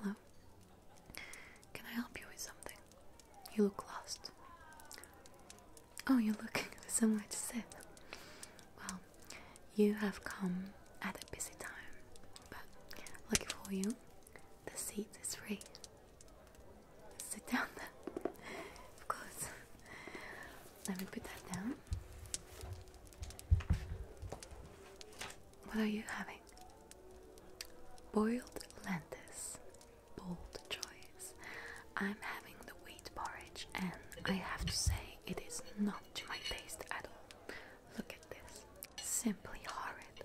hello. Can I help you with something? You look lost. Oh, you're looking for somewhere to sit. Well, you have come at a busy time, but lucky for you, the seat is free. Sit down Of course. Let me put that down. What are you having? Boiled lentils. Bold choice. I'm having the wheat porridge, and I have to say, it is not to my taste at all. Look at this. Simply horrid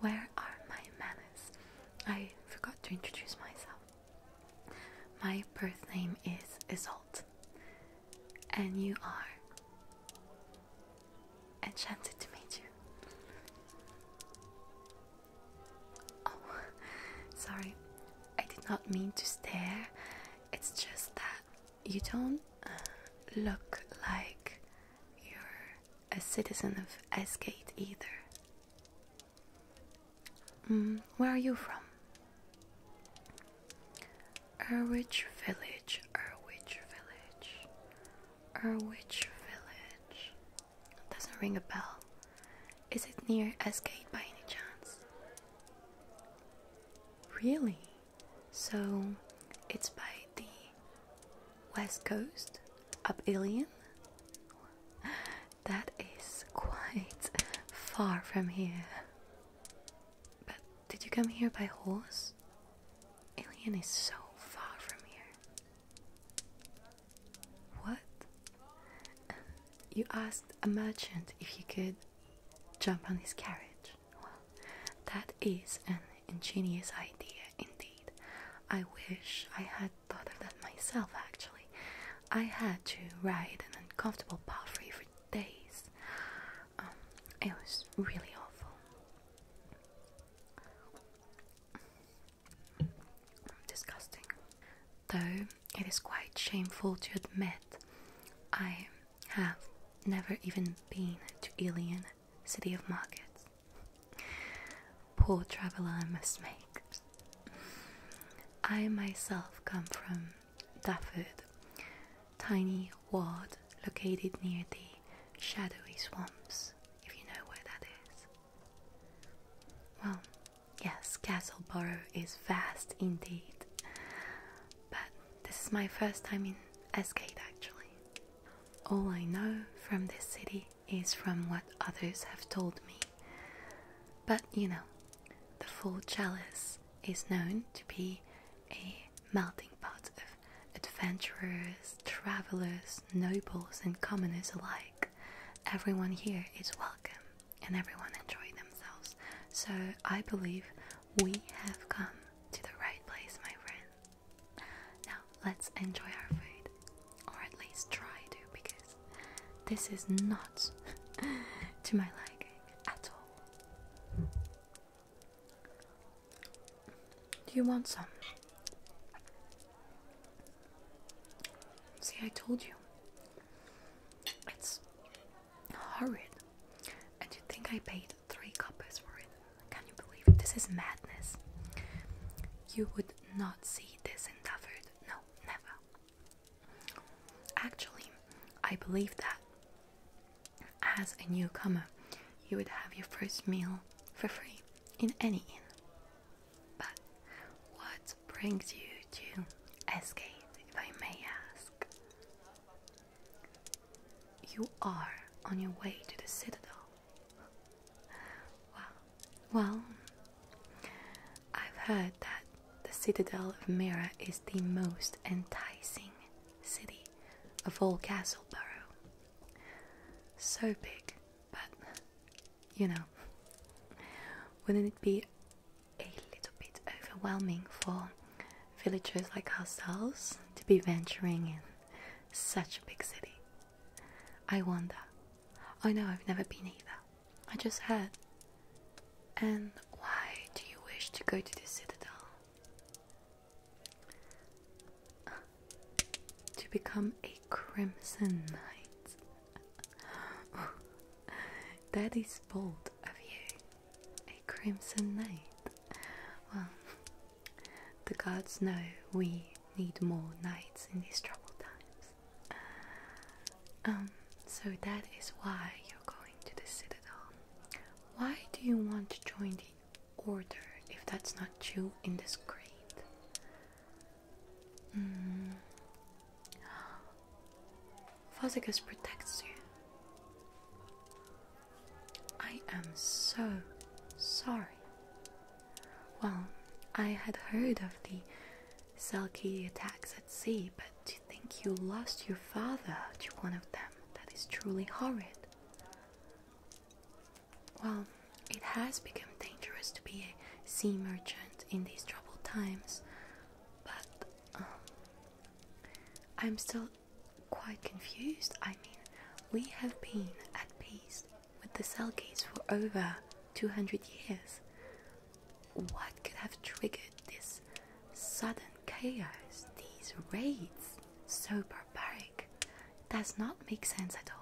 where are my manners? I forgot to introduce myself. My birth name is Isolt, and you are enchanted to meet you. Oh, sorry, I did not mean to stare. It's just that you don't uh, look like you're a citizen of Esgate either. Mm, where are you from? Erwich Village, Erwich Village, Erwich Village. Doesn't ring a bell. Is it near Esgate by any chance? Really? So it's by the West Coast, up Ilion. That is quite far from here. But did you come here by horse? Ilion is so far from here. What? You asked a merchant if you could jump on his carriage. Well, that is an ingenious idea indeed. I wish I had thought of that myself actually. I had to ride an uncomfortable palfrey for days. Um, it was really awful. Disgusting. Though it is quite shameful to admit, I have never even been to Ilion city of markets. Poor traveller I must make. I myself come from Dafford, tiny ward located near the shadowy swamps, if you know where that is. Well, yes, Castleborough is vast indeed, but this is my first time in Escade actually. All I know from this city is from what others have told me. But you know, the full chalice is known to be a melting pot of adventurers, travelers, nobles, and commoners alike. Everyone here is welcome and everyone enjoys themselves. So I believe we have come to the right place, my friends. Now let's enjoy our food, or at least try to, because this is not to my liking at all. Do you want some? See, I told you. It's horrid. And you think I paid three coppers for it. Can you believe it? This is madness. You would not see this in David. No, never. Actually, I believe that as a newcomer, you would have your first meal for free in any inn. But what brings you to Escate, if I may ask? You are on your way to the Citadel. Well, I've heard that the citadel of Mira is the most enticing city of all Castleborough. So big, but you know, wouldn't it be a little bit overwhelming for villagers like ourselves to be venturing in? Such a big city. I wonder. Oh no, I've never been either. I just heard. And why do you wish to go to the citadel? To become a crimson knight. that is bold of you. A crimson knight. Well, the gods know we need more knights in these troubled times. Uh, um, so that is why you're going to the Citadel. Why do you want to join the Order if that's not you in this grade? Mm. protects you. I am so sorry. Well, I had heard of the sulky attacks at sea, but to think you lost your father to one of them, that is truly horrid. Well, it has become dangerous to be a sea merchant in these troubled times, but um, I'm still quite confused. I mean, we have been at peace with the Selkies for over 200 years. What could have triggered this sudden chaos, these raids? So barbaric. Does not make sense at all.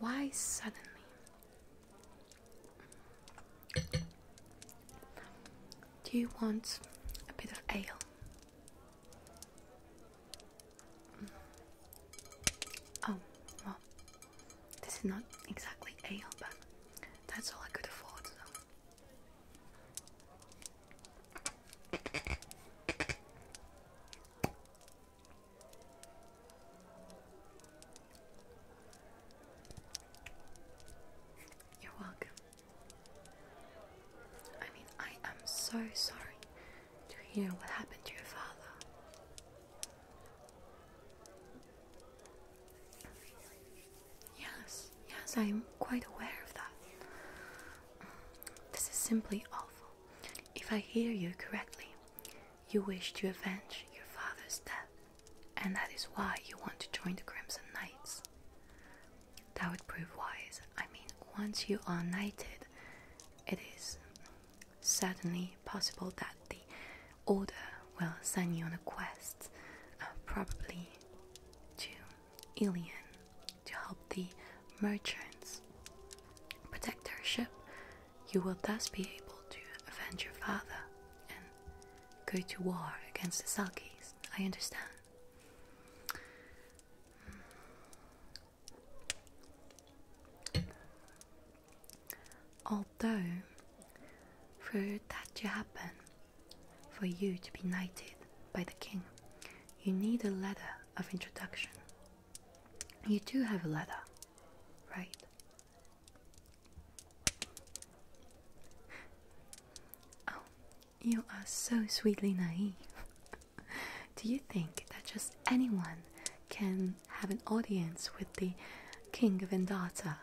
Why suddenly? Do you want a bit of ale? Oh, well, this is not exactly a but that's all I could afford, so. You're welcome. I mean, I am so sorry to hear what happened to your father. Yes, yes, I am quite aware of that. This is simply awful. If I hear you correctly, you wish to avenge your father's death, and that is why you want to join the Crimson Knights that would prove wise. I mean, once you are knighted, it is certainly possible that the Order will send you on a quest, uh, probably to Ilion, to help the merchants protect their ship. You will thus be able to avenge your father and go to war against the Selkies. I understand. Although, for that to happen, for you to be knighted by the king, you need a letter of introduction. You do have a letter, right? Oh, you are so sweetly naive. Do you think that just anyone can have an audience with the King of Indata?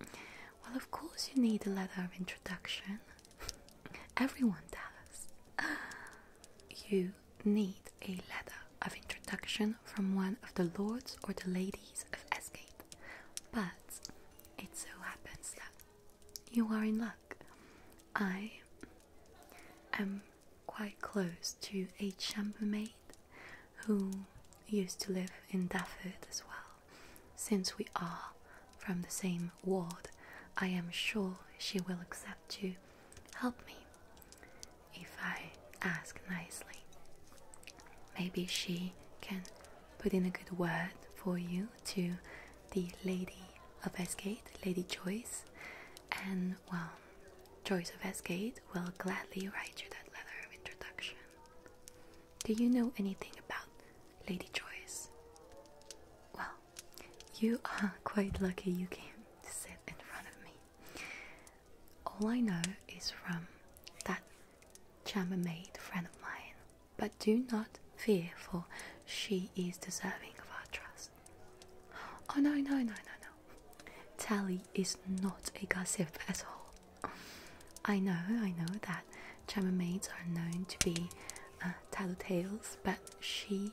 Well, of course, you need a letter of introduction. Everyone does. You need a letter of introduction from one of the lords or the ladies of Esgate. But it so happens that you are in luck. I am quite close to a chambermaid who used to live in Daffod as well. Since we are from the same ward, I am sure she will accept you. help me if I ask nicely. Maybe she can put in a good word for you to the Lady of Esgate, Lady Joyce, and well, Joyce of Esgate will gladly write you that letter of introduction. Do you know anything about Lady Joyce? Well, you are quite lucky you came to sit in front of me. All I know is from that chambermaid friend of mine, but do not fear, for she is deserving of our trust. Oh no, no, no, no, no. Tally is not a gossip at all. I know, I know that chambermaids are known to be uh, tales but she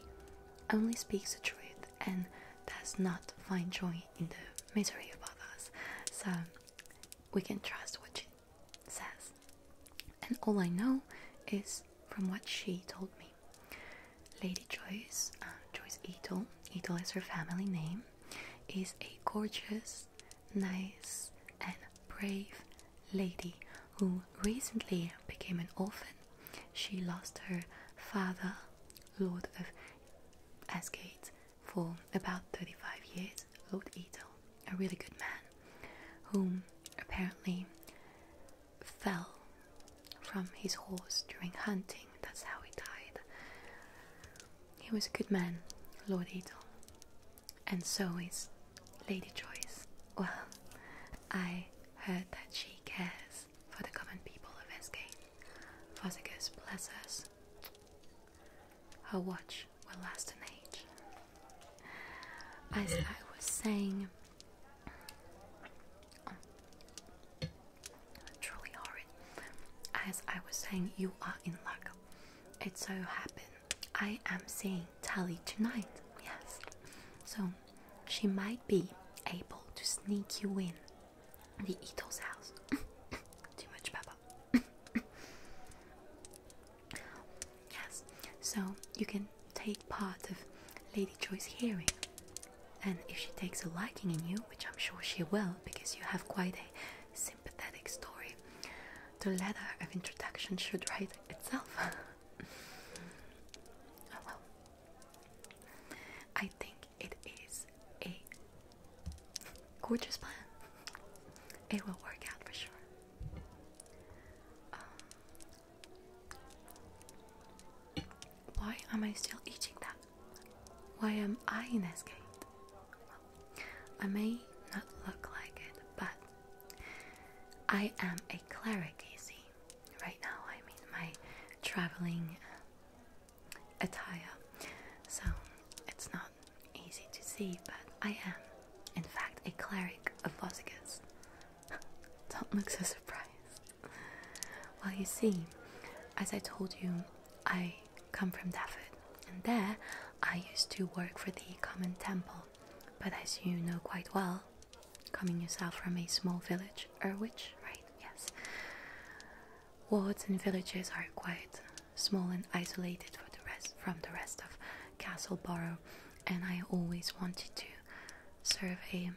only speaks the truth and does not find joy in the misery of others. So we can trust what she says. And all I know is from what she told me. Lady Joyce, uh, Joyce Ito, Ito is her family name, is a gorgeous, nice, and brave lady who recently became an orphan. She lost her father, Lord of Asgate, for about 35 years Lord Ito, a really good man, whom apparently fell from his horse during hunting. That's how he died. He was a good man, Lord Ito, and so is Lady Joyce. Well, I heard that she cares for the common people of Escape. Fossicus bless us. Her watch will last an age. As I was saying, truly horrid. As I was saying, you are in luck. It so happened I am seeing Tally tonight. Yes, so she might be able to sneak you in the Ito's house. Too much pepper. yes, so you can take part of Lady Joy's hearing. And if she takes a liking in you, which I'm sure she will, because you have quite a sympathetic story, the letter of introduction should write itself. Oh, well. I think it is a gorgeous plan. It will work out for sure. Um, why am I still eating that? Why am I in this game? I may not look like it, but I am a cleric, you see. Right now, I'm in my traveling uh, attire, so it's not easy to see, but I am, in fact, a cleric of Vossigus. Don't look so surprised. Well, you see, as I told you, I come from Dafford, and there I used to work for the common temple. But as you know quite well, coming yourself from a small village, Erwich, right? Yes. Wards and villages are quite small and isolated for the rest, from the rest of Castleboro, and I always wanted to serve a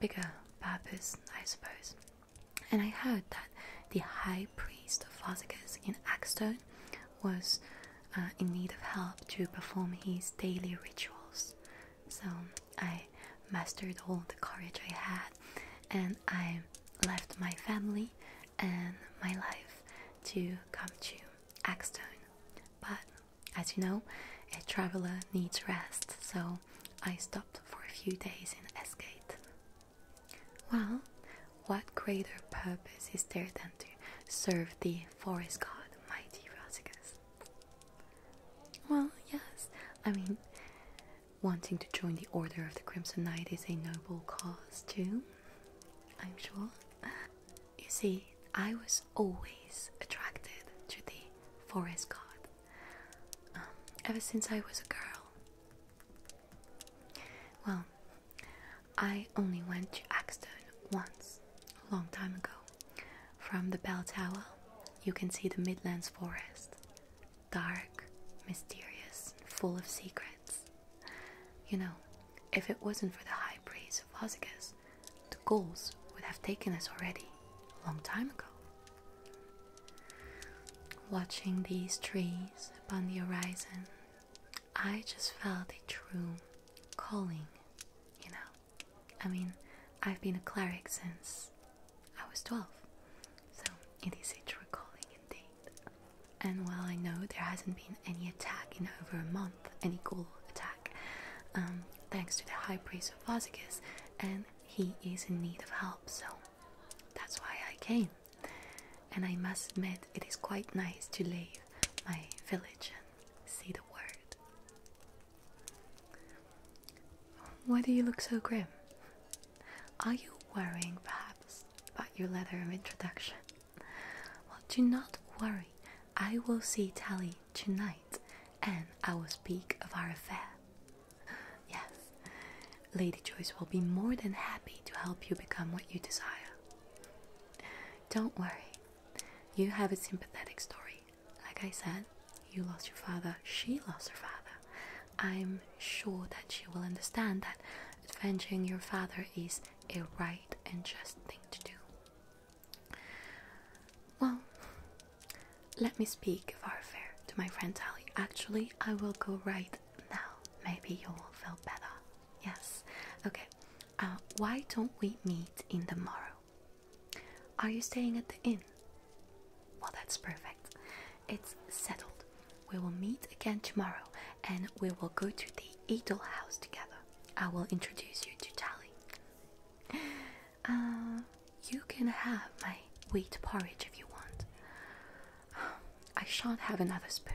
bigger purpose, I suppose. And I heard that the high priest of Fossicus in Axstone was uh, in need of help to perform his daily rituals. So I mastered all the courage I had and I left my family and my life to come to Axton. But as you know, a traveler needs rest, so I stopped for a few days in Esgate. Well, what greater purpose is there than to serve the forest god, mighty Rosicus? Well, yes, I mean, wanting to join the Order of the Crimson Knight is a noble cause, too, I'm sure. You see, I was always attracted to the forest god um, ever since I was a girl. Well, I only went to Axton once, a long time ago. From the bell tower, you can see the Midlands forest, dark, mysterious, and full of secrets. You know, if it wasn't for the high priest of Osicus, the Gauls would have taken us already, a long time ago. Watching these trees upon the horizon, I just felt a true calling, you know. I mean, I've been a cleric since I was 12, so it is a true calling indeed. And while I know there hasn't been any attack in over a month, any ghoul attack, um, thanks to the high priest of Vazikis, and he is in need of help, so that's why I came. And I must admit, it is quite nice to leave my village and see the world. Why do you look so grim? Are you worrying, perhaps, about your letter of introduction? Well, do not worry. I will see Tally tonight and I will speak of our affair. Yes, Lady Joyce will be more than happy to help you become what you desire. Don't worry, you have a sympathetic story. Like I said, you lost your father, she lost her father. I'm sure that she will understand that avenging your father is a right and just thing to do. Well, let me speak of our affair to my friend Tally. Actually, I will go right now. Maybe you will feel better. Yes. Okay. Uh, why don't we meet in the morrow? Are you staying at the inn? Well, that's perfect. It's settled. We will meet again tomorrow and we will go to the Idol house together. I will introduce you to Tali. Uh, you can have my wheat porridge if you want. I shan't have another spoon.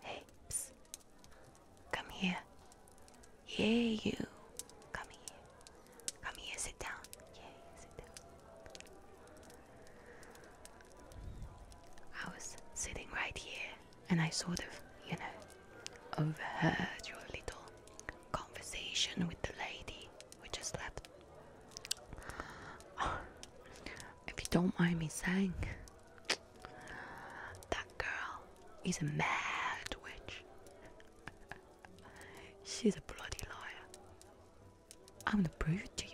Hey, Come here. Yeah, you. Come here. Come here, sit down. Yeah, sit down. I was sitting right here and I sort of, you know, overheard your little conversation with the lady who just left if you don't mind me saying, that girl is a mad witch. She's a bloody liar. I'm gonna prove it to you.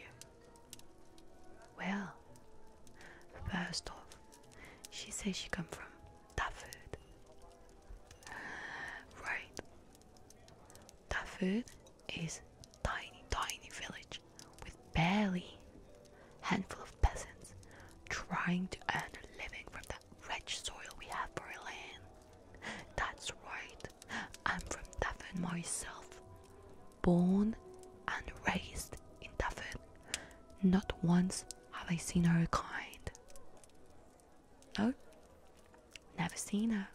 Well, first off, she says she come from Tafud. Right. Tafud is tiny tiny village with barely handful of peasants trying to earn a living from that rich soil we have for land. That's right, I'm from Duffin myself, born and raised in Duffin. Not once have I seen her kind. No, never seen her.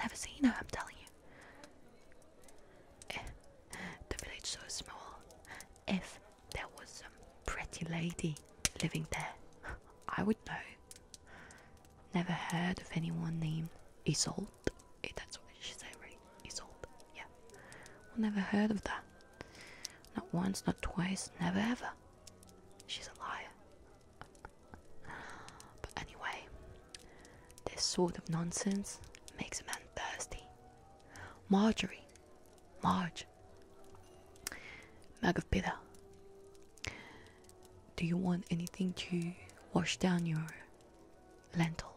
Never seen her, I'm telling you. Eh, the village is so small. If there was some pretty lady living there, I would know. Never heard of anyone named Isold. Eh, that's what she said, right? Isolde. Yeah. never heard of that. Not once, not twice, never ever. She's a liar but anyway, this sort of nonsense makes a man thirsty. Marjorie, Marge, mug of bitter. Do you want anything to wash down your lentils?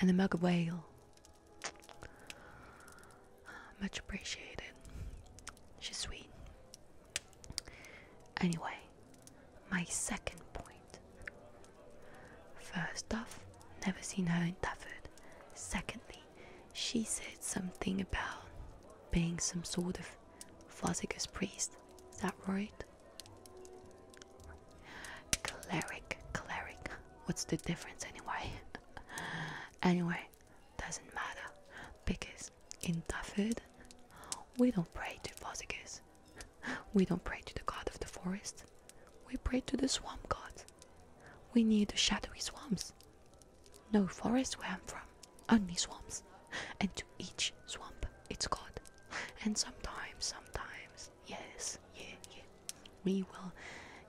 And the mug of ale. Much appreciated. She's sweet. Anyway, my second point. First off, never seen her in Stafford. Secondly, she said something about being some sort of Vossigus priest. Is that right? Cleric, cleric. What's the difference anyway? anyway, doesn't matter because in Tafid, we don't pray to Fozigus. We don't pray to the god of the forest. We pray to the swamp god. We need the shadowy swamps. No forest where I'm from, only swamps. And to each swamp, its god. And sometimes, sometimes, yes, yeah, yeah, we will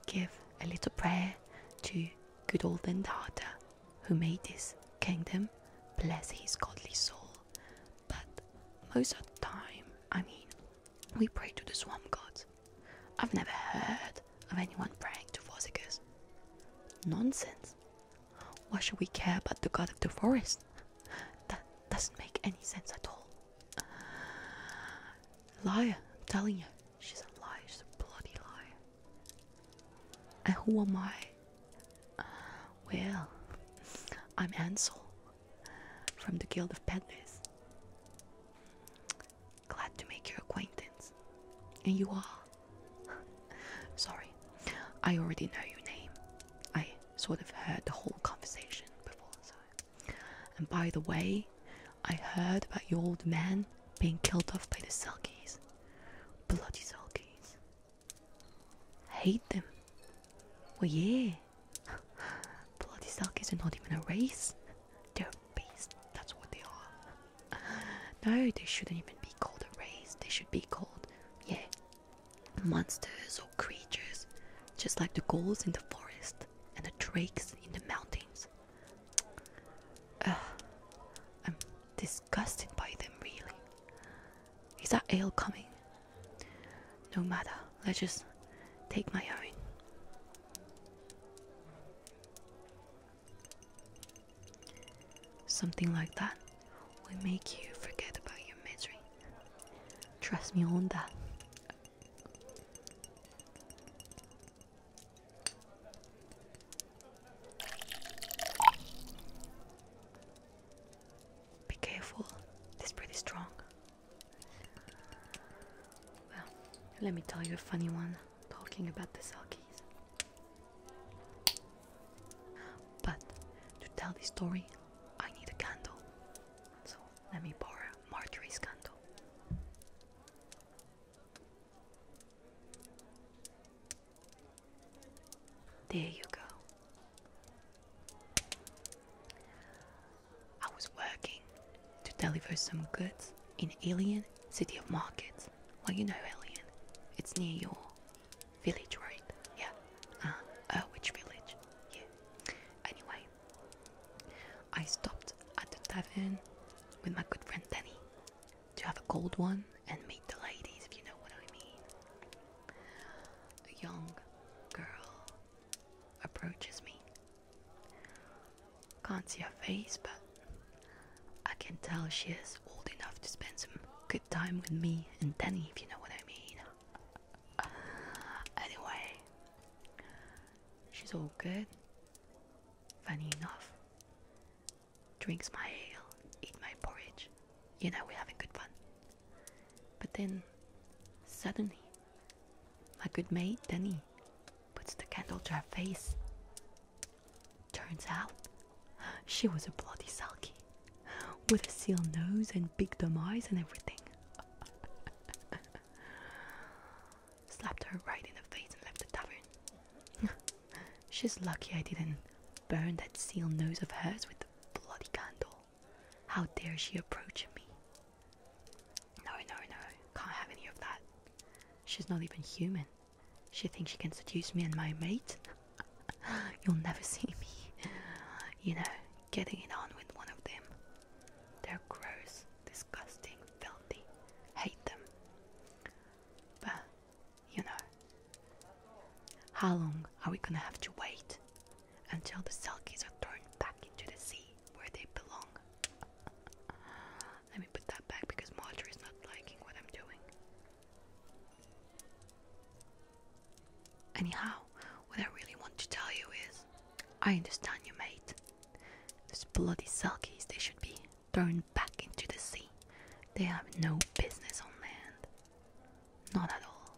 give a little prayer to Good old Endata, who made this kingdom, bless his godly soul. But most of the time, I mean, we pray to the swamp gods. I've never heard of anyone praying to Vossicus. Nonsense. Why should we care about the god of the forest? That doesn't make any sense at all. Liar, telling you. She's a liar, she's a bloody liar. And who am I? Uh, well, I'm Ansel from the Guild of Peddlers. Glad to make your acquaintance. And you are? Sorry, I already know your name. I sort of heard the whole conversation before, And by the way, I heard about your old man being killed off by the Selkies. Bloody sulkies. Hate them. Well, yeah. Bloody sulkies are not even a race. They're beasts. That's what they are. No, they shouldn't even be called a race. They should be called, yeah, monsters or creatures. Just like the ghouls in the forest and the drakes in the mountains disgusted by them, really. Is that ale coming? No matter, let's just take my own. Something like that will make you forget about your misery. Trust me on that. Be careful, this bread strong. Well, let me tell you a funny one talking about the Selkies. But to tell this story, I need a candle. So let me borrow Marjorie's candle. There you go. I was working to deliver some goods in Alien City of Markets. Well, you know Alien. It's near your village, right? Yeah. Uh, uh, which village? Yeah. Anyway, I stopped at the tavern with my good friend Danny to have a cold one and meet the ladies, if you know what I mean. A young girl approaches me. Can't see her face, but I can tell she is old enough to spend some good time with me and Danny, if you know what I mean. Anyway, she's all good, funny enough drinks my ale, eat my porridge. You know, we're having good fun. But then, suddenly, my good mate Denny puts the candle to her face. Turns out, she was a bloody sulky, with a seal nose and big dumb eyes and everything. Slapped her right in the face and left the tavern. She's lucky I didn't burn that seal nose of hers with the bloody candle. How dare she approach me? No, no, no, can't have any of that. She's not even human. She thinks she can seduce me and my mate. You'll never see me, you know, getting it on with one of them. They're gross, disgusting, filthy. Hate them. But you know. How long are we gonna have to wait until the selkies are thrown back into the sea where they belong? Let me put that back because Marjorie's not liking what I'm doing. Anyhow, what I really want to tell you is I understand you, mate. Those bloody selkies, they should be thrown back into the sea. They have no business on land. Not at all.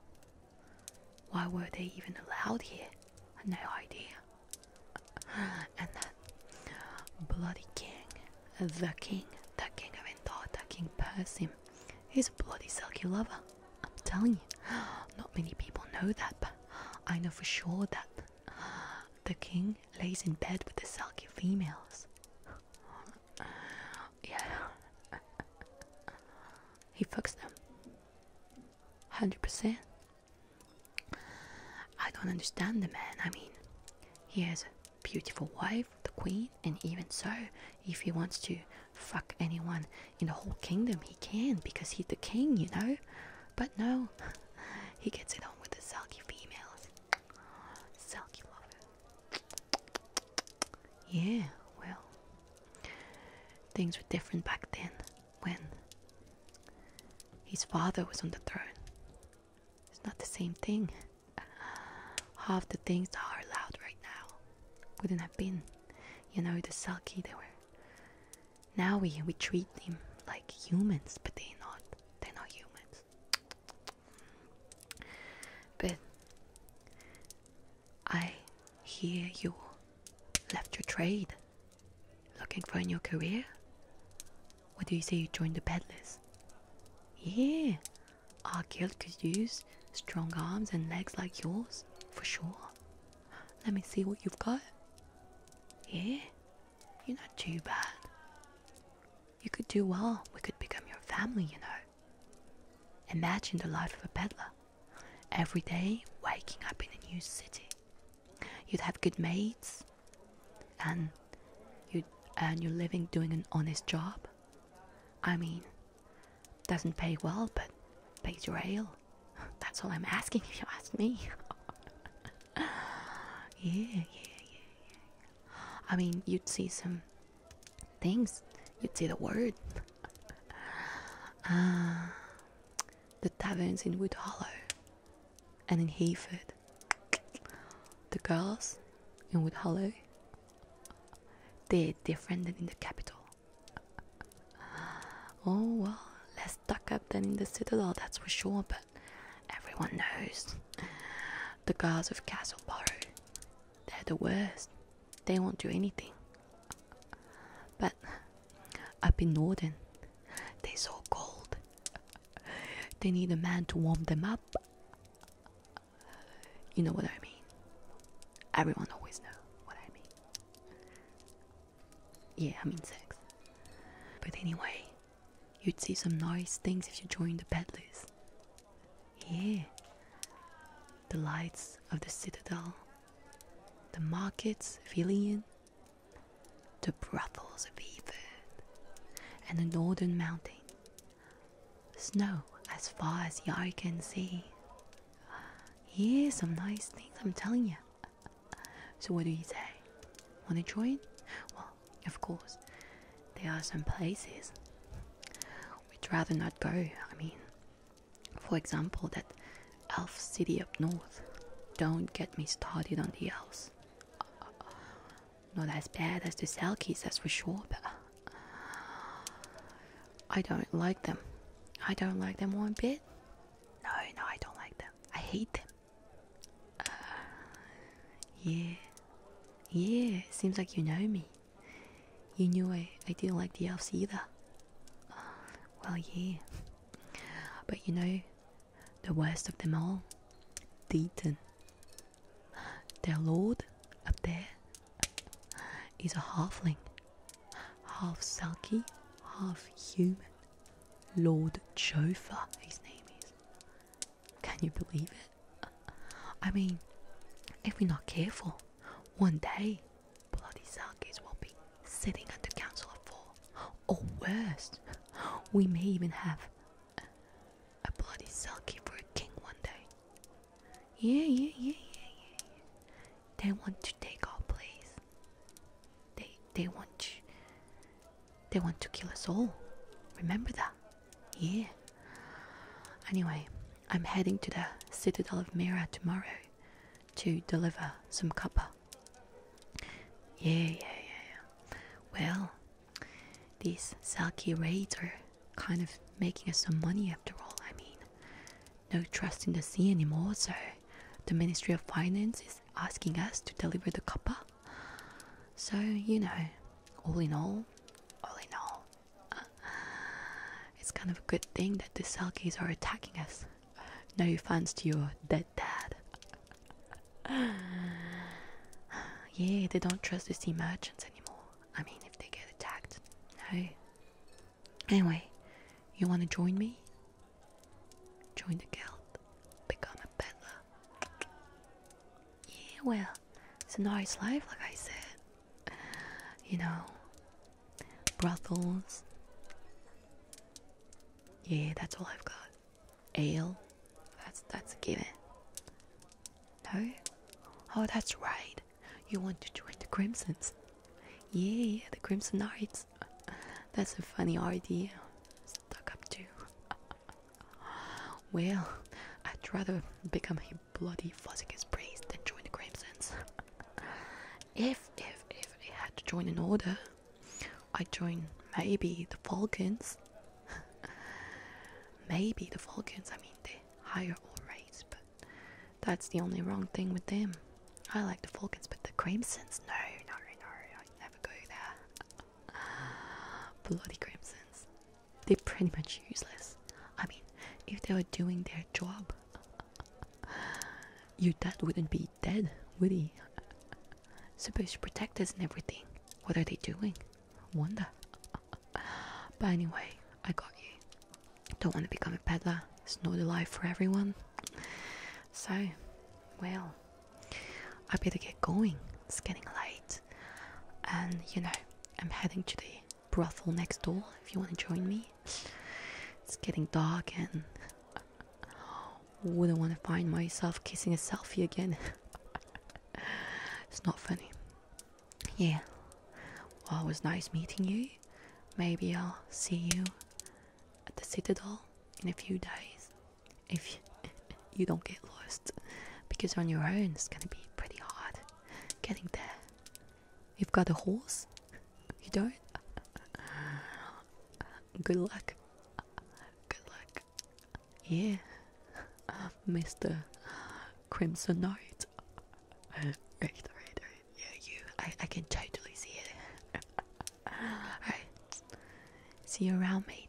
Why were they even allowed here? No idea. And that bloody king, the king, the king of Endor, King Persim, he's a bloody sulky lover. I'm telling you, not many people know that, but I know for sure that the king lays in bed with the sulky females. Yeah. he fucks them. 100%. I don't understand the man. I mean, he has a beautiful wife, the queen, and even so, if he wants to fuck anyone in the whole kingdom, he can because he's the king, you know? But no, he gets it on with the sulky females. Selkie lover. Yeah, well, things were different back then when his father was on the throne. It's not the same thing. Half the things that are allowed right now wouldn't have been, you know, the sulky. they were. Now we we treat them like humans, but they're not. They're not humans. But I hear you left your trade. Looking for a new career? What do you say you joined the peddlers? Yeah, our guild could use strong arms and legs like yours, for sure. Let me see what you've got. Yeah, you're not too bad. You could do well. We could become your family, you know. Imagine the life of a pedlar—every Every day waking up in a new city. You'd have good mates and you'd earn your living doing an honest job. I mean, doesn't pay well, but pays your ale. That's all I'm asking if you ask me. yeah, yeah, yeah, I mean, you'd see some things. You'd see the word. Ah, the taverns in Wood Hollow and in Hayford. The girls in Wood Hollow, they're different than in the capital. Oh well, less stuck up than in the citadel, that's for sure, but everyone knows the guards of Castle They're the worst. They won't do anything. But up in Northern, they're so cold. They need a man to warm them up. You know what I mean. Everyone always know what I mean. Yeah, I mean sex. But anyway, You'd see some nice things if you joined the peddlers. Here, The lights of the citadel, the markets of the brothels of Everd, and the northern mountain. Snow as far as the eye can see. Yeah, some nice things, I'm telling you. So, what do you say? Wanna join? Well, of course, there are some places we'd rather not go. I mean, for example, that elf city up north. Don't get me started on the elves. Not as bad as the Selkies, that's for sure, but I don't like them. I don't like them one bit. No, no, I don't like them. I hate them. Uh, yeah. Yeah, seems like you know me. You knew I, I didn't like the elves either. Uh, well, yeah. But you know, the worst of them all, Deaton. Their lord up there is a halfling. Half sulky, half human. Lord Jofa, his name is. Can you believe it? I mean, if we're not careful, one day bloody Salkis will be sitting at the Council of Four, or worse, we may even have a bloody Selkie for a king one day. Yeah, yeah, yeah, yeah, yeah. They want to take our place. They they want to they want to kill us all. Remember that? Yeah. Anyway, I'm heading to the Citadel of Mira tomorrow to deliver some copper. Yeah, yeah, yeah, Well, these Selkie raids are kind of making us some money after all. I mean, no trust in the sea anymore, so the Ministry of Finance is asking us to deliver the copper so, you know, all in all, all in all, uh, it's kind of a good thing that the Selkies are attacking us. No offense to your dead dad. yeah, they don't trust the sea merchants anymore. I mean, if they get attacked, no. Anyway, you want to join me? Join the guild. Become a peddler. Yeah, well, it's a nice life, like I said. You know, brothels. Yeah, that's all I've got. Ale. That's that's a given. No? Oh, that's right. You want to join the Crimsons. Yeah, the Crimson Knights. That's a funny idea. Stuck up too. Well, I'd rather become a bloody Fozzikis priest than join the Crimsons. if, if, if I had to join an order, I'd join maybe the Falcons. maybe the Falcons, I mean, the higher all race, but that's the only wrong thing with them. I like the Falcons, but the Crimsons, no, no, no, i never go there. Bloody Crimsons. They're pretty much useless. I mean, if they were doing their job, your dad wouldn't be dead, would he? Supposed to protect us and everything. What are they doing? Wanda? but anyway, I got you. Don't want to become a peddler. It's not a life for everyone. So, well, I better get going. It's getting late. And you know, I'm heading to the brothel next door if you want to join me. It's getting dark and wouldn't want to find myself kissing a selfie again. it's not funny. Yeah. Well, it was nice meeting you. Maybe I'll see you at the Citadel in a few days if you, don't get lost because on your own it's gonna be pretty hard getting there. You've got a horse? You don't? Good luck. Good luck. Yeah, Mr. Crimson Knight. Right, right, right. Yeah, you. I, I can totally see it. Alright. See you around, mate.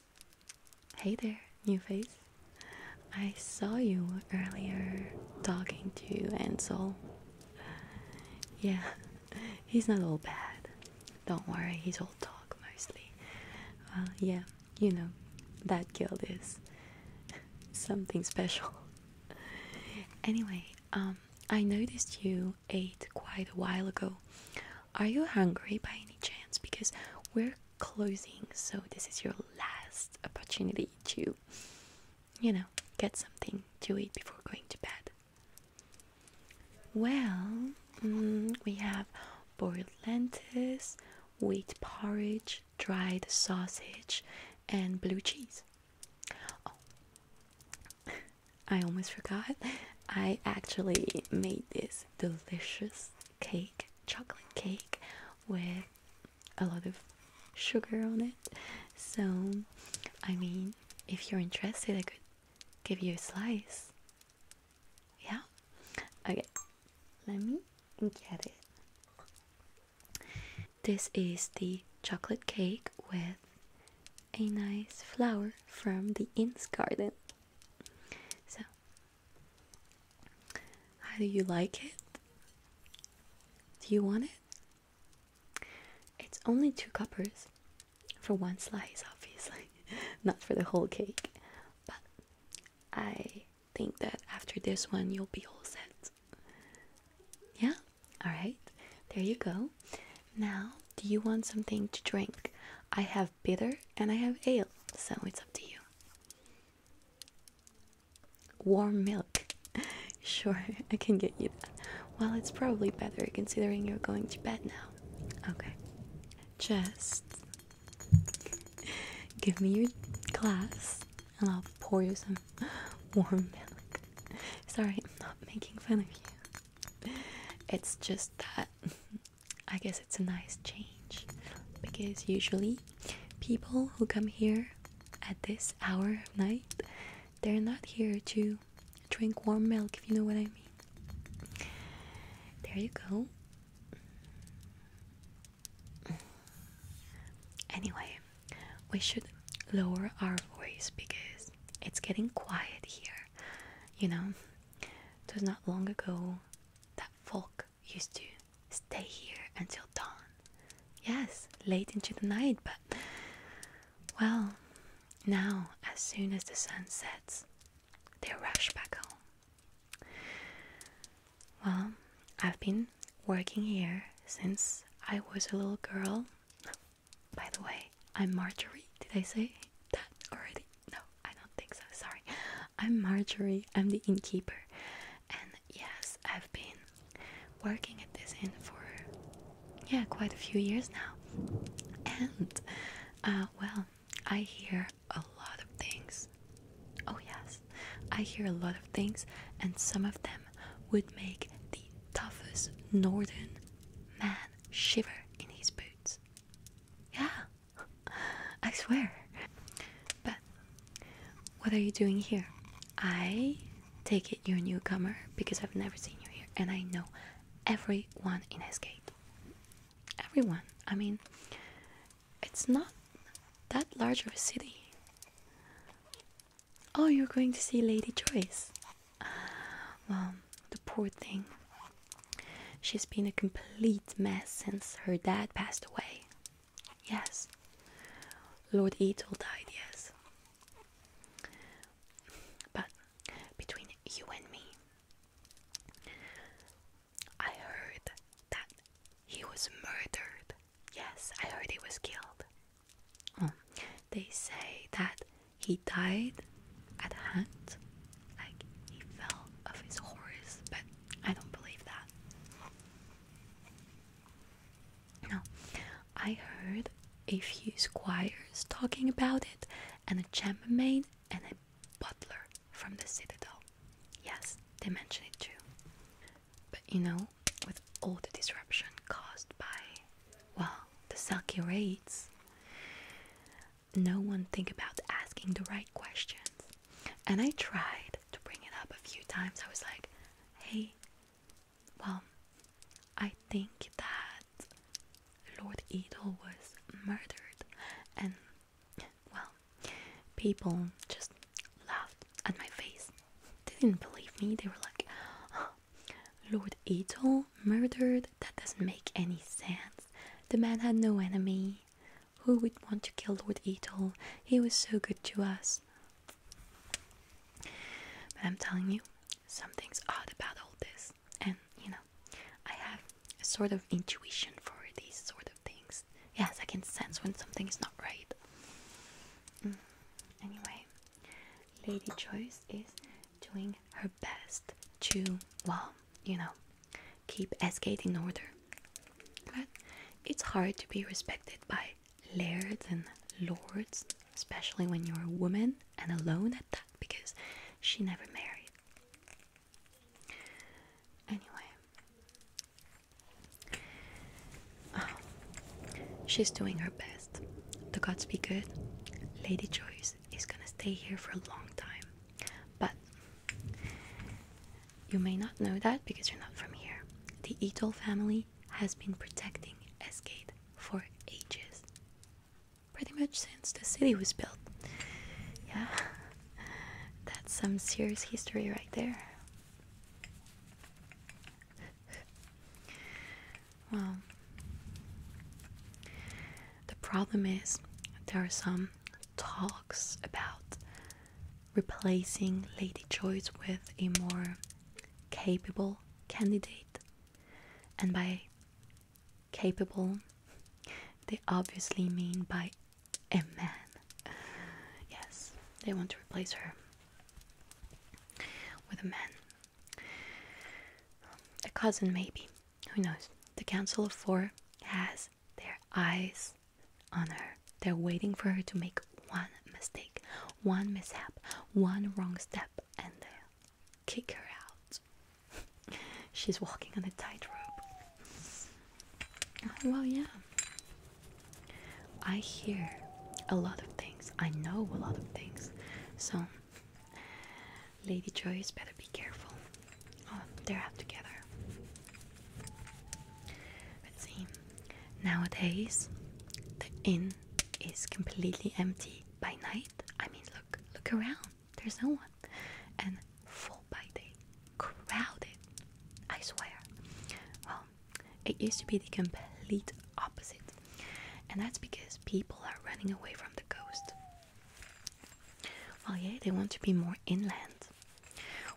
Hey there, new face. I saw you earlier talking to Ansel. Yeah, he's not all bad. Don't worry, he's all talk mostly. Uh, yeah, you know, that girl is something special. Anyway, um, I noticed you ate quite a while ago. Are you hungry by any chance? Because we're closing, so this is your last opportunity to, you know, get something to eat before going to bed. Well, mm, we have boiled lentils, wheat porridge, dried sausage, and blue cheese. Oh. I almost forgot. I actually made this delicious cake, chocolate cake, with a lot of sugar on it. So, I mean, if you're interested, I could give you a slice. Yeah? Okay, let me get it. This is the chocolate cake with a nice flower from the inn's garden. So, how do you like it? Do you want it? It's only two coppers for one slice, obviously, not for the whole cake, but I think that after this one, you'll be all set. Yeah? Alright, there you go. Now, do you want something to drink? I have bitter and I have ale, so it's up to you. Warm milk. sure, I can get you that. Well, it's probably better considering you're going to bed now. Okay. Just give me your glass and I'll pour you some warm milk. Sorry, I'm not making fun of you. It's just that I guess it's a nice change because usually people who come here at this hour of night they're not here to drink warm milk if you know what I mean. There you go. Anyway, we should lower our voice because it's getting quiet here. You know, it was not long ago that folk used to stay here until dawn. Yes, late into the night, but well, now as soon as the sun sets, they rush back home. Well, I've been working here since I was a little girl. By the way, I'm Marjorie. Did I say that already? No. I don't think so. Sorry. I'm Marjorie. I'm the innkeeper. And yes, I've been working at this inn for yeah, quite a few years now. And uh well, I hear a lot of things. Oh yes. I hear a lot of things and some of them would make the toughest northern man shiver in his boots. Yeah, I swear. But what are you doing here? I take it you're a newcomer because I've never seen you here and I know everyone in Escape. Everyone. I mean, it's not that large of a city. Oh, you're going to see Lady Joyce. Well, the poor thing. She's been a complete mess since her dad passed away. Yes. Lord Etel died, yes. But between you and me, I heard that he was murdered. Yes, I heard he was killed. Oh, they say that he died at hand, like he fell off his horse, but I don't believe that. No, I heard a few squires talking about it, and a chambermaid and a butler from the citadel. Yes, they mentioned it too. But you know, with all the disruption caused by, well, the Selkie raids, no one think about asking the right questions. And I tried to bring it up a few times. I was like, hey, well, I think that Lord Edel was murdered. And, well, people just laughed at my face. They didn't believe me. They were like, Lord Edel murdered? That doesn't make any sense. The man had no enemy. Who would want to kill Lord Etel? He was so good to us. But I'm telling you, something's odd about all this. And, you know, I have a sort of intuition for these sort of things. Yes, I can sense when something is not right. Mm. Anyway, Lady Choice is doing her best to, well, you know, keep Esgate in order. But it's hard to be respected by lairs and lords, especially when you're a woman and alone at that, because she never married. Anyway, oh, she's doing her best. The gods be good. Lady Joyce is gonna stay here for a long time. But you may not know that because you're not from here. The Etol family has been protecting Esgate for ages. Pretty much since the city was built. Yeah. That's some serious history right there. Well, the problem is there are some talks about replacing Lady Joyce with a more capable candidate. And by capable, they obviously mean by a man. Yes, they want to replace her with a man. A cousin, maybe who knows? The Council of Four has their eyes on her. They're waiting for her to make one mistake, one mishap, one wrong step, and kick her out. She's walking on a tightrope. Oh, well, yeah. I hear a lot of things, I know a lot of things, so Lady Joyce better be careful. Oh, they're out together. let see. Nowadays, the inn is completely empty by night. I mean, look, look around. There's no one. And full by day, crowded. I swear. Well, it used to be the complete opposite, and that's because people are running away from the ghost. Well, yeah, they want to be more inland.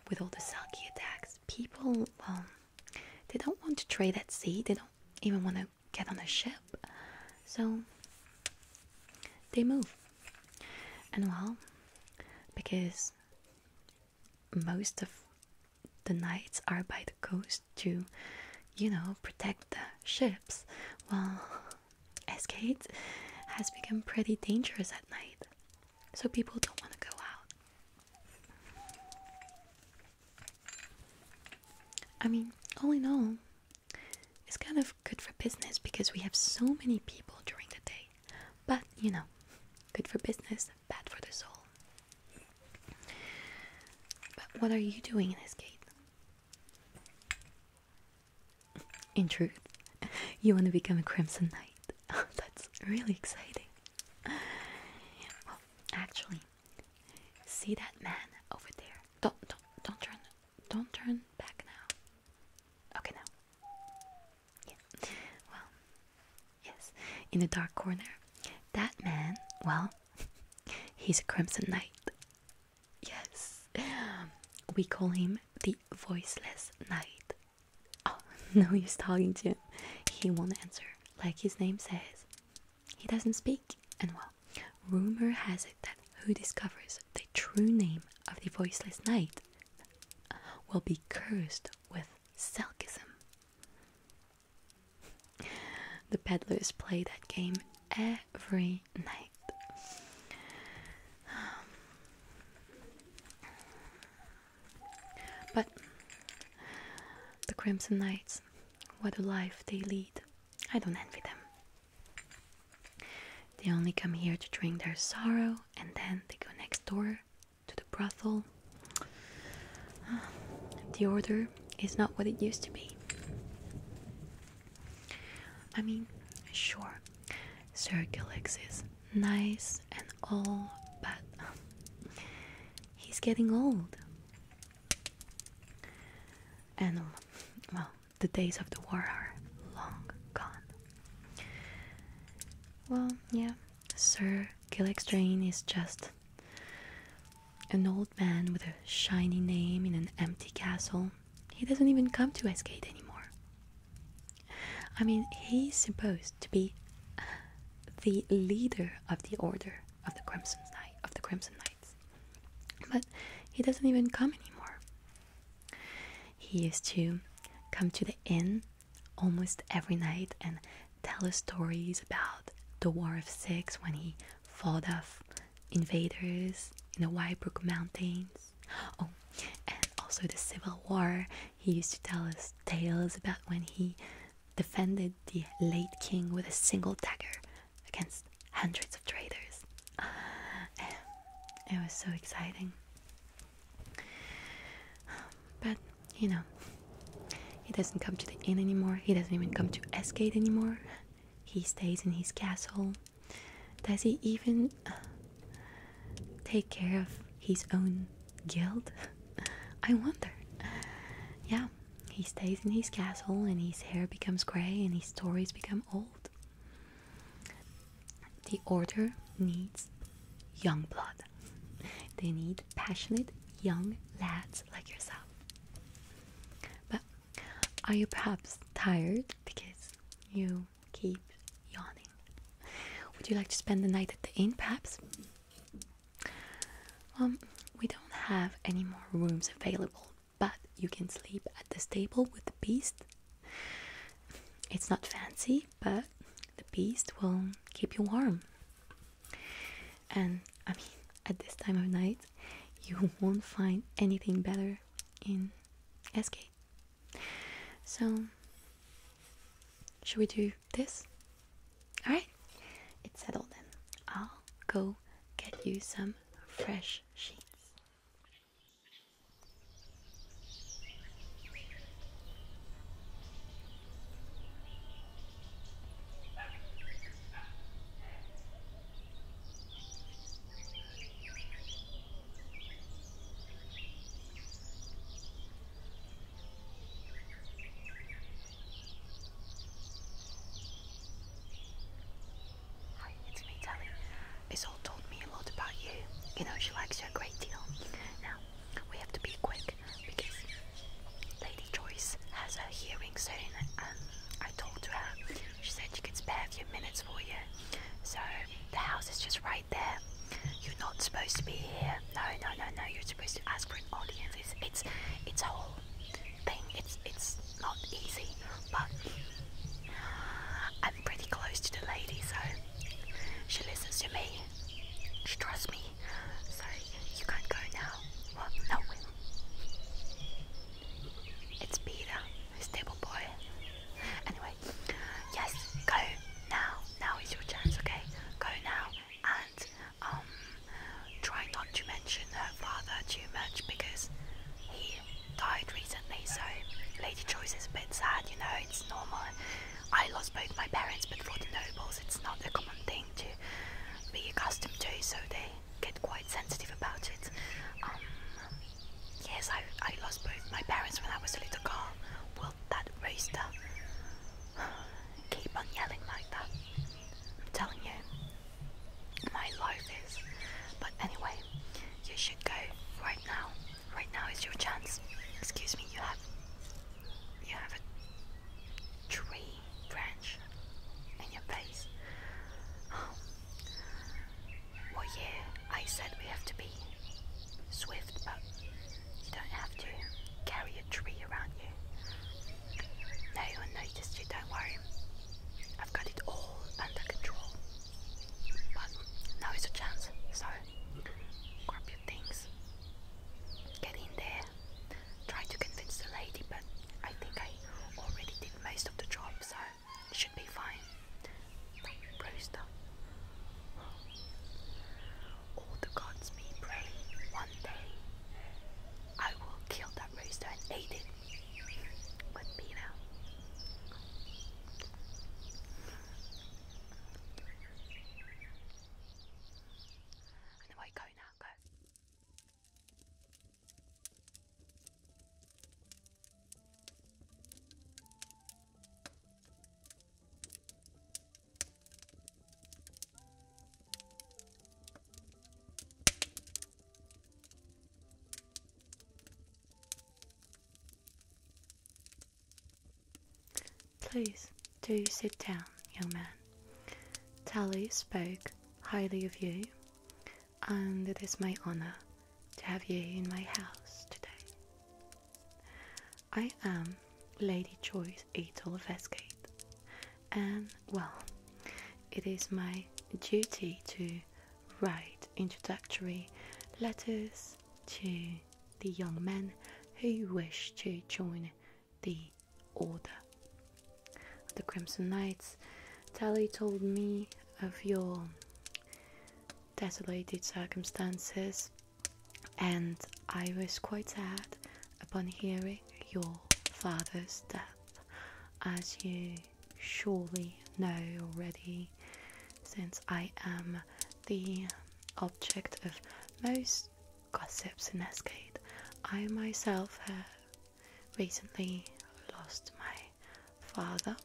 With all the sulky attacks, people, well, um, they don't want to trade at sea. They don't even want to get on a ship. So they move. And well, because most of the knights are by the coast to, you know, protect the ships. Well, Escades has become pretty dangerous at night, so people don't want to go out. I mean, all in all, it's kind of good for business because we have so many people during the day, but you know, good for business, bad for the soul. But what are you doing in Escade? In truth, you want to become a Crimson Knight. Oh, that's really exciting. Well, actually, see that man over there? Don't don't don't turn don't turn back now. Okay now. Yeah. Well, yes. In the dark corner, that man. Well, he's a Crimson Knight. Yes, we call him the voiceless knight. Oh, no, he's talking to him. He won't answer. Like his name says, he doesn't speak. And well, rumor has it that who discovers the true name of the voiceless knight will be cursed with selkism. The peddlers play that game every night. Um, but the Crimson Knights, what a life they lead. I don't envy them. They only come here to drink their sorrow and then they go next door to the brothel. Ah, the order is not what it used to be. I mean, sure, Sir Circulix is nice and all, but um, he's getting old. And, um, well, the days of the war are long gone. Well, yeah, Sir Gillick's Drain is just an old man with a shiny name in an empty castle. He doesn't even come to Westgate anymore. I mean, he's supposed to be the leader of the order of the Crimson Knight of the Crimson Knights, but he doesn't even come anymore. He used to come to the inn almost every night and tell us stories about the War of Six when he Fall of invaders in the Waibrook Mountains. Oh, and also the Civil War. He used to tell us tales about when he defended the late king with a single dagger against hundreds of traitors. It was so exciting. But, you know, he doesn't come to the inn anymore. He doesn't even come to Esgate anymore. He stays in his castle does he even uh, take care of his own guild? I wonder. Yeah, he stays in his castle and his hair becomes grey and his stories become old. The order needs young blood. They need passionate young lads like yourself. But are you perhaps tired because you keep yawning? Would you like to spend the night at the inn perhaps? Um, we don't have any more rooms available, but you can sleep at the stable with the beast. It's not fancy, but the beast will keep you warm. And I mean, at this time of night, you won't find anything better in SK. So, should we do this? Alright, it's settled then. I'll go get you some fresh sheets. Hi, it's me, Tally. Isol told me a lot about you. You know, she likes you a great deal. Now, we have to be quick because Lady Joyce has a hearing soon, and I talked to her she said she could spare a few minutes for you. So the house is just right there. You're not supposed to be here. No, no, no, no. You're supposed to ask for an audience. It's it's a whole thing. It's it's not easy, but I'm pretty close to the lady, so she listens to me. She trusts me. So you can't go now. Well, no. It's Peter stable boy. Anyway, yes, go now. Now is your chance, okay? Go now and um try not to mention her father too much because he died recently, so Lady Choice is a bit sad, you know, it's normal. I lost both my parents but for the nobles it's not a common thing to be accustomed to so they get quite sensitive about it. Um, yes, I, I lost both my parents when I was a little girl. Well, that rooster keep on yelling like that. I'm telling you, my life is. But anyway, you should go right now. Right now is your chance. Excuse me, you have you have a tree branch in your face. Well, yeah, I said we have to be swift, but you don't have to carry a tree around you. No you one noticed you, don't worry. I've got it all under control. But now is a chance, so grab your things. Get in there. Try to convince the lady, but I think I already did most of the job, so should be fine. Brewster. All the gods may pray one day I will kill that rooster and eat it with Peter. And away go now, go. Please do sit down, young man. Tally spoke highly of you, and it is my honor to have you in my house today. I am Lady Joyce Etel and well, it is my duty to write introductory letters to the young men who wish to join the Order the Crimson Knights Tally told me of your desolated circumstances, and I was quite sad upon hearing your father's death, as you surely know already, since I am the object of most gossips in Escate. I myself have recently lost my father.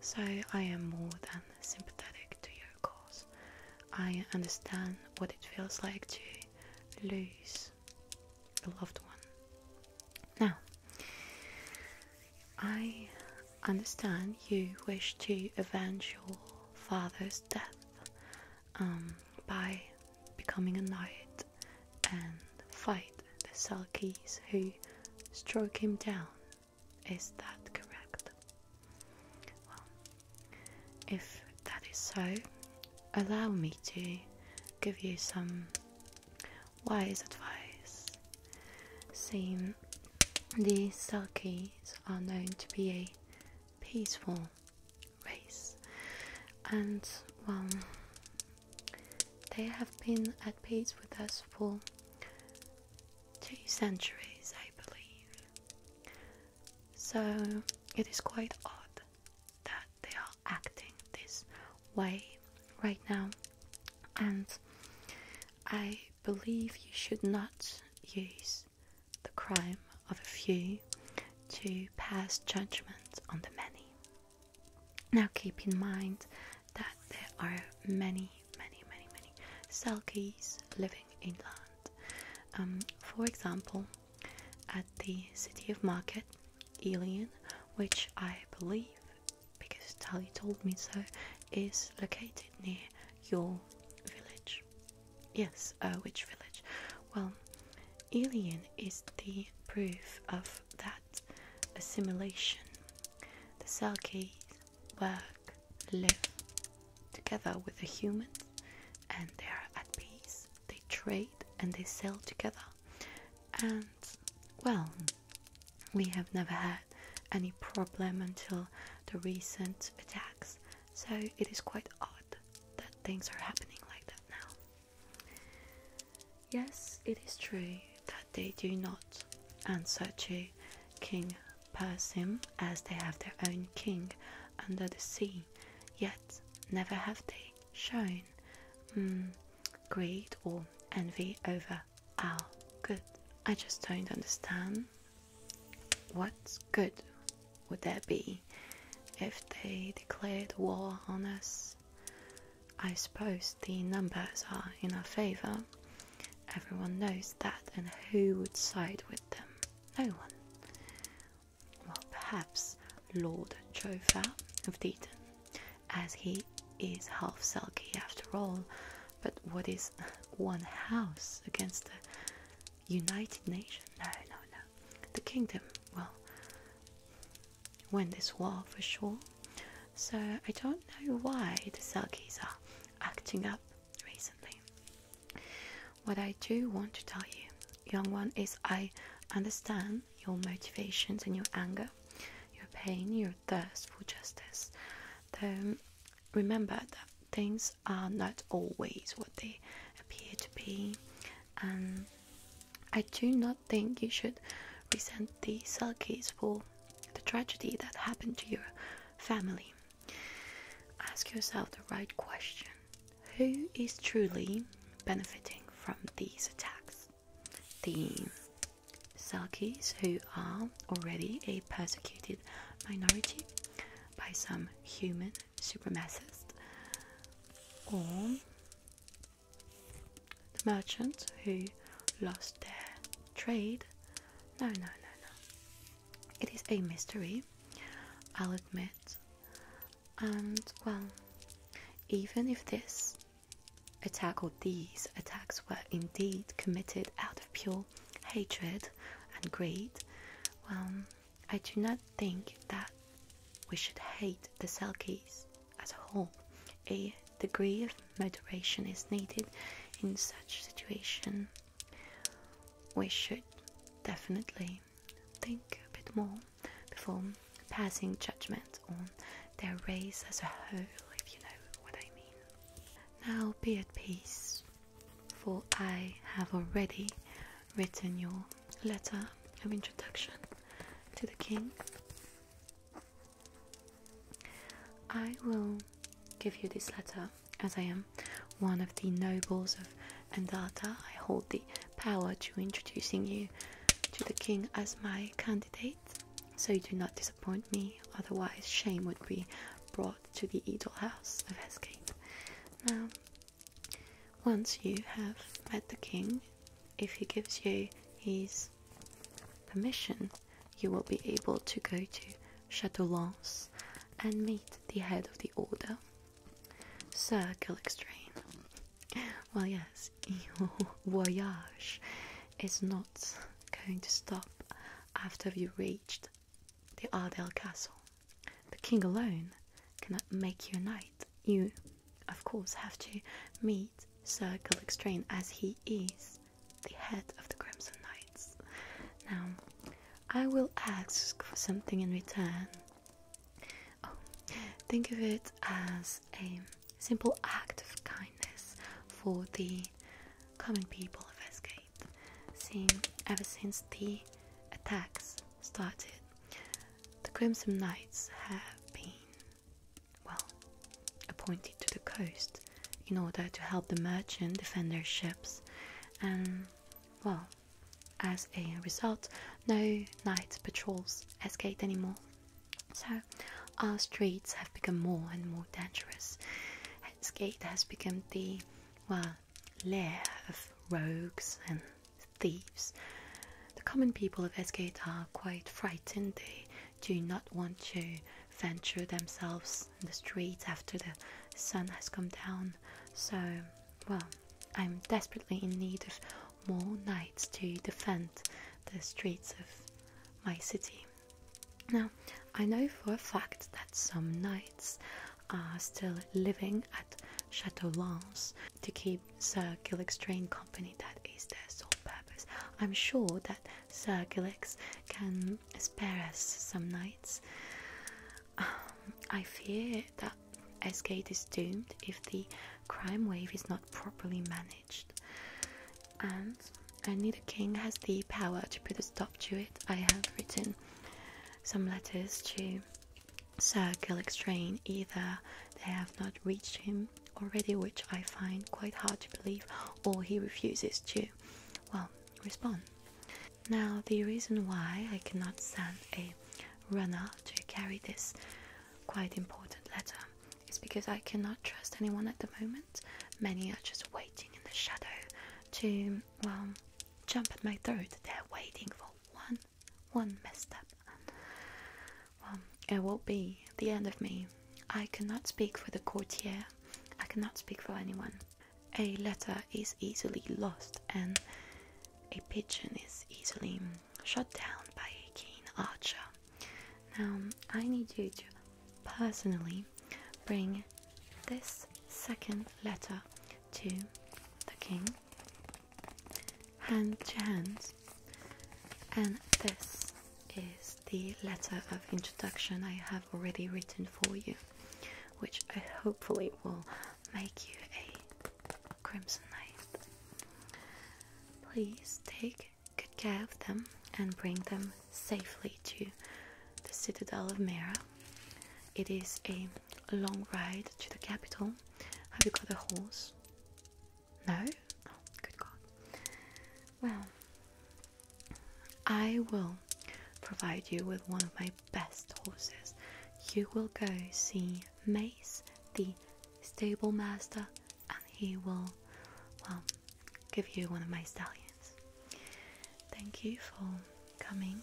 So I am more than sympathetic to your cause. I understand what it feels like to lose a loved one. Now, I understand you wish to avenge your father's death um, by becoming a knight and fight the Selkies who struck him down. Is that correct? Well, if that is so, allow me to give you some wise advice. Seeing these Selkies are known to be a peaceful race, and well, they have been at peace with us for two centuries, I believe. So it is quite odd that they are acting this way right now, and I believe you should not use the crime of a few to pass judgment on the many. Now keep in mind that there are many, many, many, many Selkies living inland. Um, for example, at the city of Market, Elian, which I believe, because Tali told me so, is located near your village. Yes, uh, which village? Well, Elian is the proof of that assimilation, the Selkies work, live together with the humans, and they are at peace. They trade and they sell together, and well, we have never had any problem until the recent attacks. So it is quite odd that things are happening like that now. Yes, it is true that they do not and such a King Persim as they have their own king under the sea, yet never have they shown mm, greed or envy over our good. I just don't understand what good would there be if they declared war on us. I suppose the numbers are in our favor. Everyone knows that, and who would side with them? No one. Well, perhaps Lord Jova of Deaton, as he is half sulky after all. But what is one house against the United Nation? No, no, no. The kingdom, well, when this war for sure. So I don't know why the Selkies are acting up recently. What I do want to tell you, young one, is I understand your motivations and your anger, your pain, your thirst for justice. Though remember that things are not always what they appear to be, and I do not think you should resent the Selkies for the tragedy that happened to your family. Ask yourself the right question Who is truly benefiting from these attacks? The Selkies, who are already a persecuted minority by some human supremacists, or the merchants who lost their trade. No, no, no, no. It is a mystery, I'll admit. And, well, even if this attack or these attacks were indeed committed out of pure hatred and greed, well, I do not think that we should hate the Selkies as a whole. A degree of moderation is needed in such situation. We should definitely think a bit more before passing judgment on their race as a whole, if you know what I mean. Now be at peace, for I have already written your letter of introduction to the king I will give you this letter as I am one of the nobles of Endata. I hold the power to introducing you to the king as my candidate. So you do not disappoint me, otherwise shame would be brought to the idol house of Hescape. Now, once you have met the king, if he gives you his permission, you will be able to go to Chateau Lens and meet the head of the order, Sir Gilextrane. Well, yes, your voyage is not going to stop after you reached the Ardell Castle. The king alone cannot make you a knight. You of course, have to meet Sir Gilextrane as he is the head of the Crimson Knights. Now, I will ask for something in return. Oh, think of it as a simple act of kindness for the common people of Esgate. See, ever since the attacks started, the Crimson Knights have been well, appointed to the coast in order to help the merchant defend their ships, and well, as a result, no night patrols escaped anymore. So, our streets have become more and more dangerous. Hellsgate has become the well lair of rogues and thieves the common people of Esgate are quite frightened. They do not want to venture themselves in the streets after the sun has come down. So, well, I'm desperately in need of more knights to defend the streets of my city. Now, I know for a fact that some knights are still living at Chateau Lance to keep Sir Gillick company, that is their sole I'm sure that Sir Gilix can spare us some nights. Um, I fear that Esgate is doomed if the crime wave is not properly managed. And only the king has the power to put a stop to it. I have written some letters to Sir Train; Either they have not reached him already, which I find quite hard to believe, or he refuses to, well, respond. Now, the reason why I cannot send a runner to carry this quite important letter is because I cannot trust anyone at the moment. Many are just waiting in the shadow to, well, jump at my throat. They're waiting for one, one up. Um, it will be the end of me. I cannot speak for the courtier, I cannot speak for anyone. A letter is easily lost, and a pigeon is easily shot down by a keen archer. Now, I need you to personally bring this second letter to the king hand to hand and this is the letter of introduction I have already written for you which I hopefully will make you a crimson knight. Please take good care of them and bring them safely to the citadel of Mera. It is a long ride to the capital. Have you got a horse? No? Oh, good God. Well, I will provide you with one of my best horses. You will go see Mace, the stablemaster, and he will, well, give you one of my stallions. Thank you for coming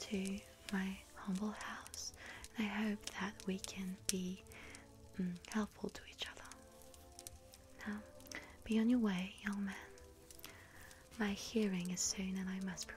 to my humble house, I hope that we can be Mm, helpful to each other. Now, be on your way, young man. My hearing is soon and I must prepare.